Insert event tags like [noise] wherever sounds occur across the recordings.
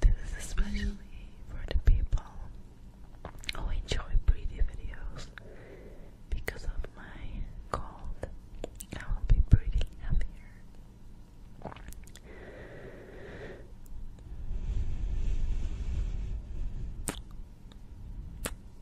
This is especially for the people who enjoy pretty videos. Because of my cold, I will be pretty happier.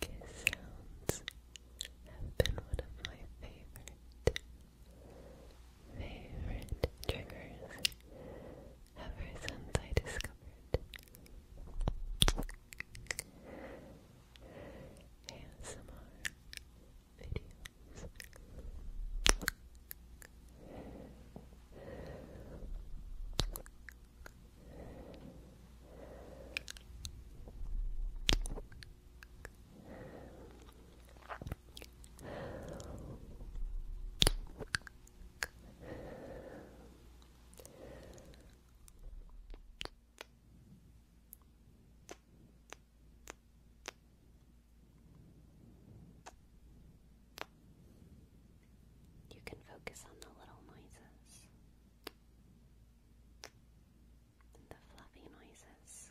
Kiss sounds have been one of my favorite, favorite triggers ever since I discovered ASMR videos. You can focus on the little noises the fluffy noises.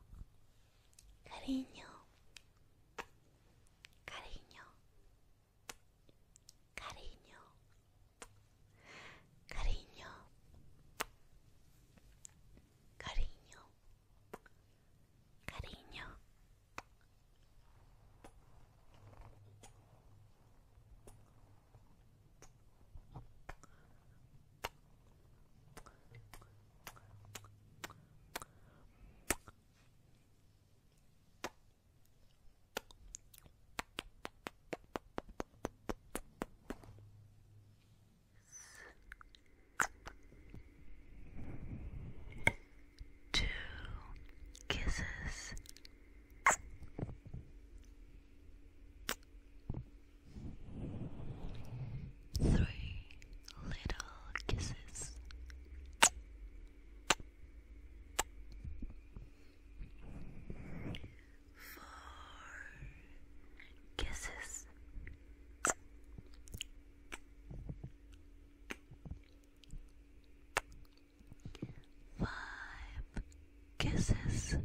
cariño, cariño, cariño, cariño, cariño, cariño. Two kisses. Three little kisses. Four kisses. Five kisses.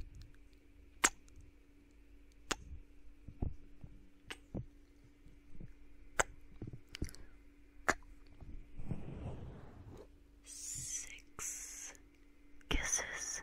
Six kisses.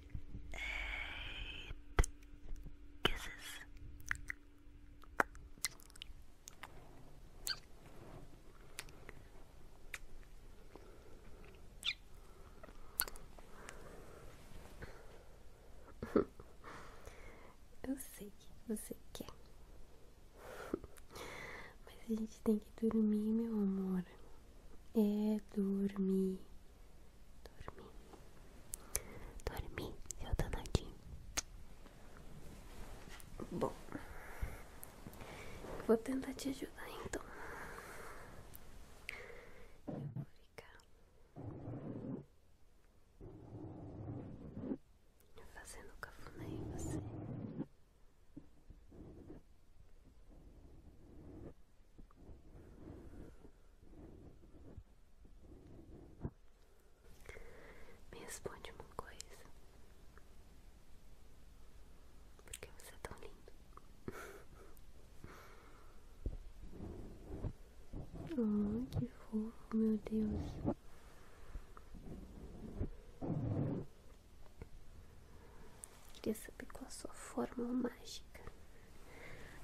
eight kisses. [laughs] Eu sei que você quer, mas a gente tem que dormir, meu amor é dormir. Dormir. Dormir, Eu seu danadinho. Bom, vou tentar te ajudar então. Eu vou ficar fazendo cafuné em você. Me responde uma coisa. Por que você é tão lindo? oh, que fofo, meu Deus. Queria saber qual a sua fórmula mágica.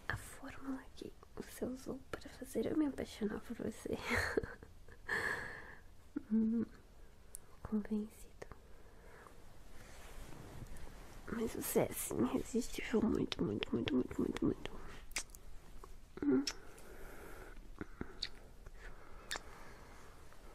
A fórmula que você usou para fazer eu me apaixonar por você. [laughs] Hum, convencido. Mas você é assim, resistível muito, muito, muito, muito, muito, muito. Hum.